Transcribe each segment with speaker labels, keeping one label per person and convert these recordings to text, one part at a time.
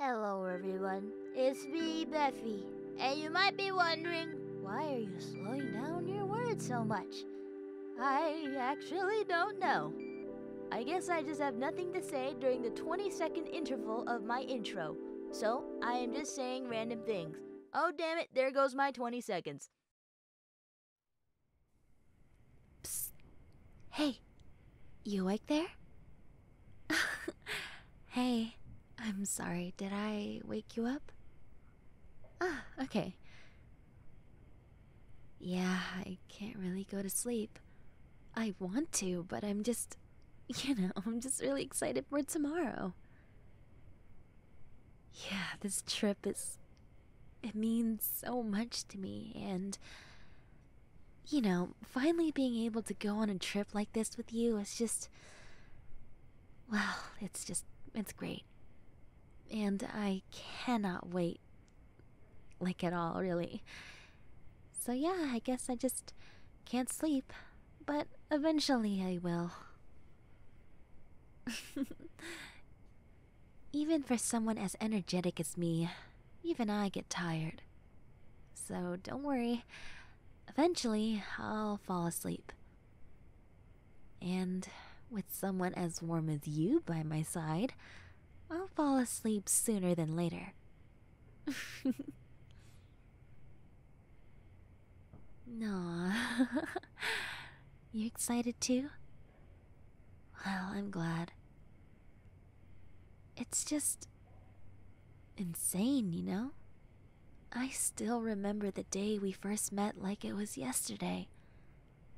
Speaker 1: Hello everyone, it's me, Beffy, and you might be wondering, why are you slowing down your words so much? I actually don't know. I guess I just have nothing to say during the 20 second interval of my intro, so I am just saying random things. Oh damn it, there goes my 20 seconds. Hey, you awake there? hey, I'm sorry, did I wake you up? Ah, okay. Yeah, I can't really go to sleep. I want to, but I'm just, you know, I'm just really excited for tomorrow. Yeah, this trip is. It means so much to me, and you know, finally being able to go on a trip like this with you is just. Well, it's just. It's great. And I cannot wait. Like at all, really. So, yeah, I guess I just can't sleep. But eventually I will. Even for someone as energetic as me, even I get tired. So don't worry, eventually I'll fall asleep. And with someone as warm as you by my side, I'll fall asleep sooner than later. No, you are excited too? Well, I'm glad. It's just insane, you know? I still remember the day we first met like it was yesterday.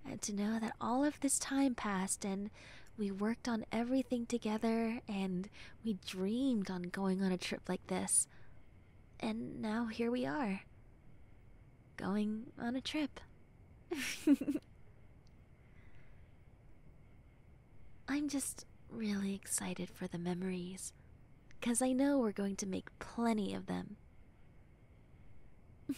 Speaker 1: And to know that all of this time passed and we worked on everything together and we dreamed on going on a trip like this. And now here we are. Going on a trip. I'm just really excited for the memories, because I know we're going to make plenty of them.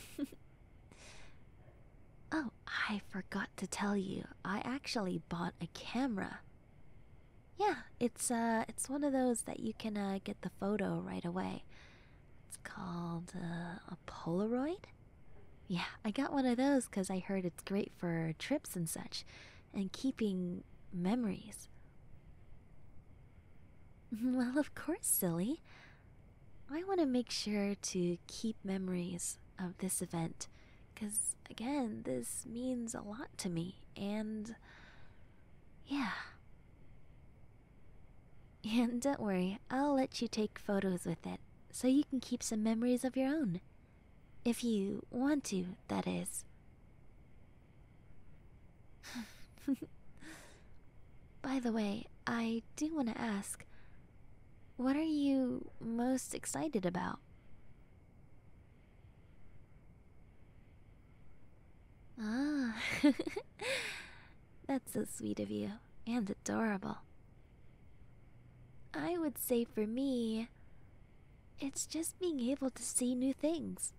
Speaker 1: oh, I forgot to tell you, I actually bought a camera. Yeah, it's uh it's one of those that you can uh, get the photo right away. It's called uh, a Polaroid. Yeah, I got one of those because I heard it's great for trips and such, and keeping memories. Well, of course, silly. I want to make sure to keep memories of this event because, again, this means a lot to me, and yeah. And don't worry, I'll let you take photos with it so you can keep some memories of your own. If you want to, that is. By the way, I do want to ask what are you most excited about? Ah, that's so sweet of you and adorable. I would say for me, it's just being able to see new things.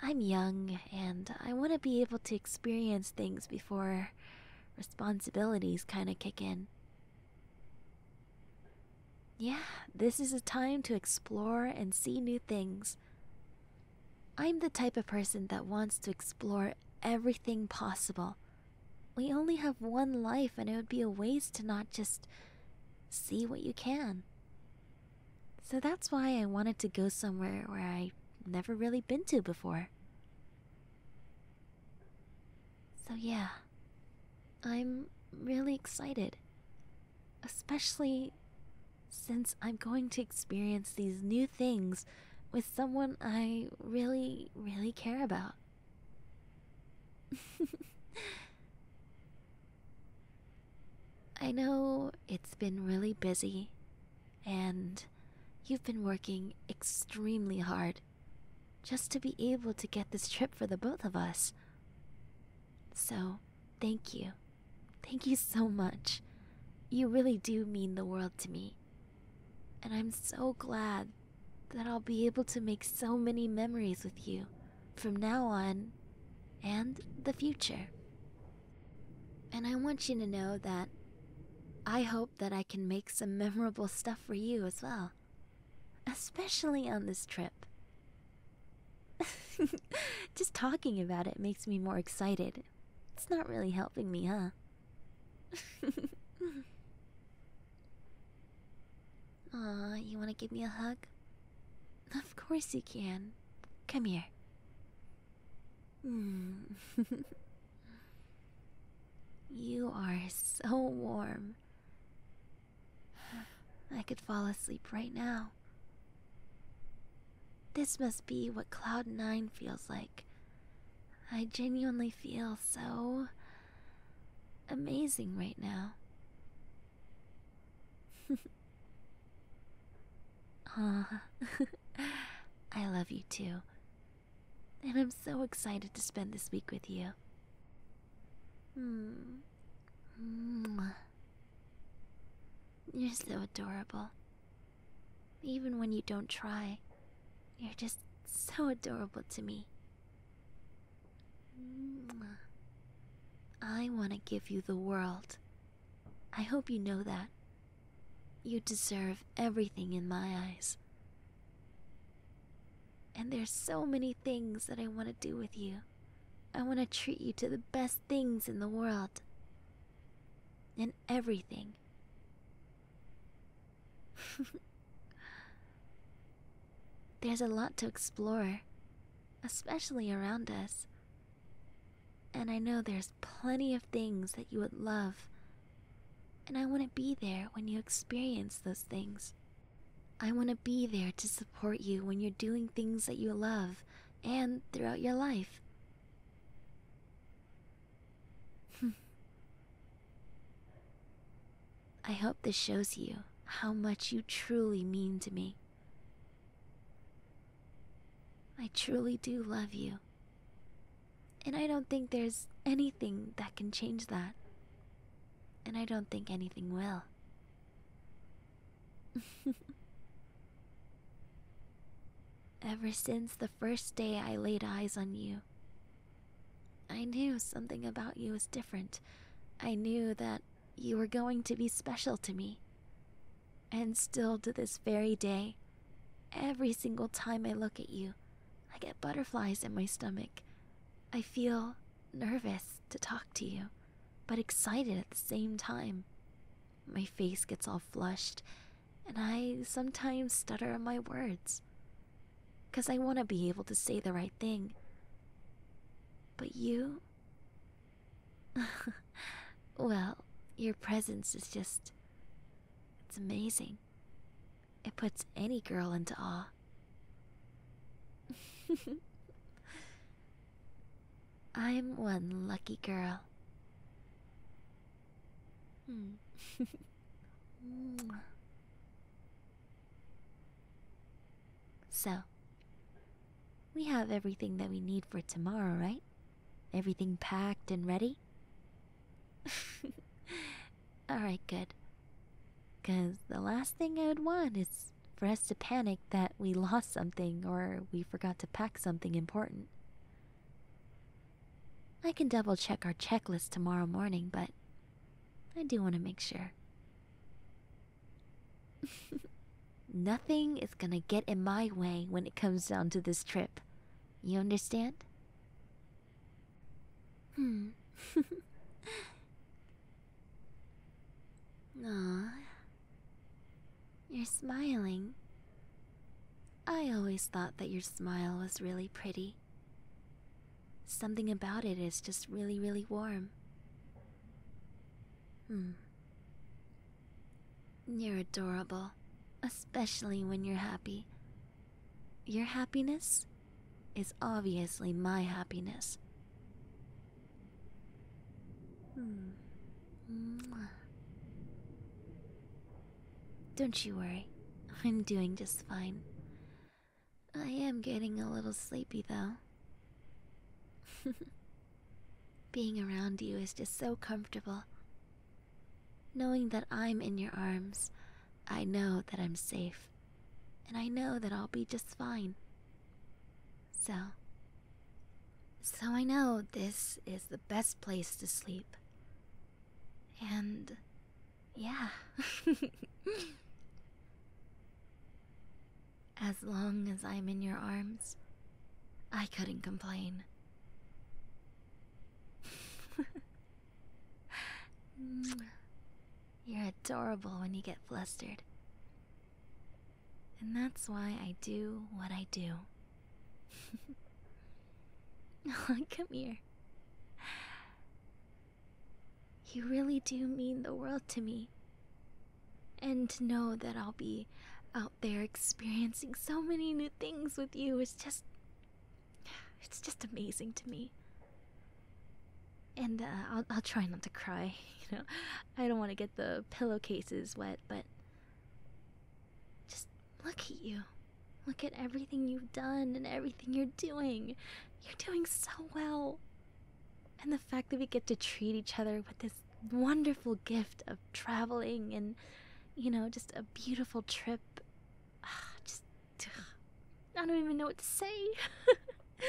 Speaker 1: I'm young and I want to be able to experience things before responsibilities kind of kick in. Yeah, this is a time to explore and see new things. I'm the type of person that wants to explore everything possible. We only have one life, and it would be a waste to not just see what you can. So that's why I wanted to go somewhere where I've never really been to before. So, yeah, I'm really excited. Especially since I'm going to experience these new things with someone I really, really care about. I know it's been really busy, and you've been working extremely hard just to be able to get this trip for the both of us. So, thank you. Thank you so much. You really do mean the world to me. And I'm so glad that I'll be able to make so many memories with you from now on and the future. And I want you to know that I hope that I can make some memorable stuff for you as well, especially on this trip. Just talking about it makes me more excited. It's not really helping me, huh? Aw, you want to give me a hug? Of course you can. Come here. Hmm. you are so warm. I could fall asleep right now. This must be what Cloud 9 feels like. I genuinely feel so amazing right now. Aw, I love you too. And I'm so excited to spend this week with you. Mm. You're so adorable. Even when you don't try, you're just so adorable to me. I want to give you the world. I hope you know that. You deserve everything in my eyes. And there's so many things that I want to do with you. I want to treat you to the best things in the world. And everything. There's a lot to explore, especially around us. And I know there's plenty of things that you would love, and I want to be there when you experience those things. I want to be there to support you when you're doing things that you love and throughout your life. I hope this shows you how much you truly mean to me. I truly do love you. And I don't think there's anything that can change that. And I don't think anything will. Ever since the first day I laid eyes on you, I knew something about you was different. I knew that you were going to be special to me. And still to this very day, every single time I look at you, I get butterflies in my stomach. I feel nervous to talk to you, but excited at the same time. My face gets all flushed and I sometimes stutter on my words. Because I want to be able to say the right thing. But you? well, your presence is just. It's amazing. It puts any girl into awe. I'm one lucky girl. Hmm. Mm. So, we have everything that we need for tomorrow, right? Everything packed and ready? Alright, good. Because the last thing I would want is for us to panic that we lost something or we forgot to pack something important. I can double check our checklist tomorrow morning, but I do want to make sure. Nothing is gonna get in my way when it comes down to this trip. You understand? Hmm. Aw. You're smiling. I always thought that your smile was really pretty. Something about it is just really, really warm. Hmm. You're adorable, especially when you're happy. Your happiness is obviously my happiness. Hmm. Mwah. Don't you worry, I'm doing just fine. I am getting a little sleepy though. Being around you is just so comfortable. Knowing that I'm in your arms, I know that I'm safe, and I know that I'll be just fine. So, so I know this is the best place to sleep. And yeah. as long as I'm in your arms, I couldn't complain. You're adorable when you get flustered. And that's why I do what I do. Come here. You really do mean the world to me. And to know that I'll be out there experiencing so many new things with you is just. It's just amazing to me. And uh, I'll, I'll try not to cry. You know, I don't want to get the pillowcases wet, but just Look at you. Look at everything you've done and everything you're doing. You're doing so well. And the fact that we get to treat each other with this wonderful gift of traveling and, you know, just a beautiful trip. Ah, just. I don't even know what to say.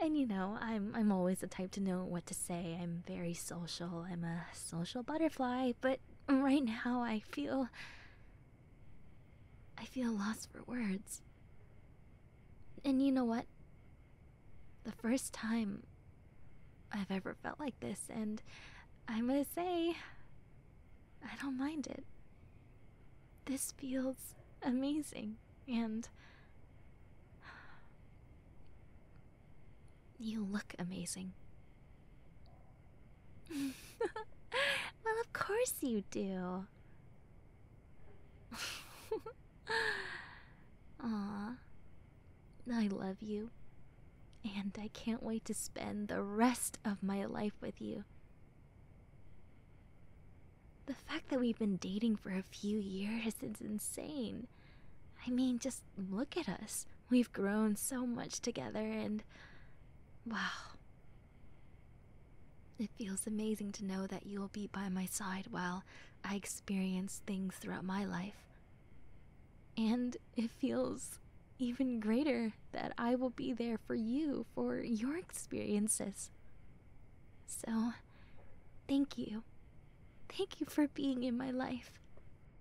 Speaker 1: and you know, I'm I'm always the type to know what to say. I'm very social. I'm a social butterfly, but right now I feel. I feel lost for words. And you know what? The first time I've ever felt like this, and I'm gonna say, I don't mind it. This feels amazing, and you look amazing. well, of course you do. Ah, I love you. And I can't wait to spend the rest of my life with you. The fact that we've been dating for a few years is insane. I mean, just look at us. We've grown so much together, and wow. It feels amazing to know that you'll be by my side while I experience things throughout my life. And it feels even greater that I will be there for you for your experiences. So, thank you. Thank you for being in my life.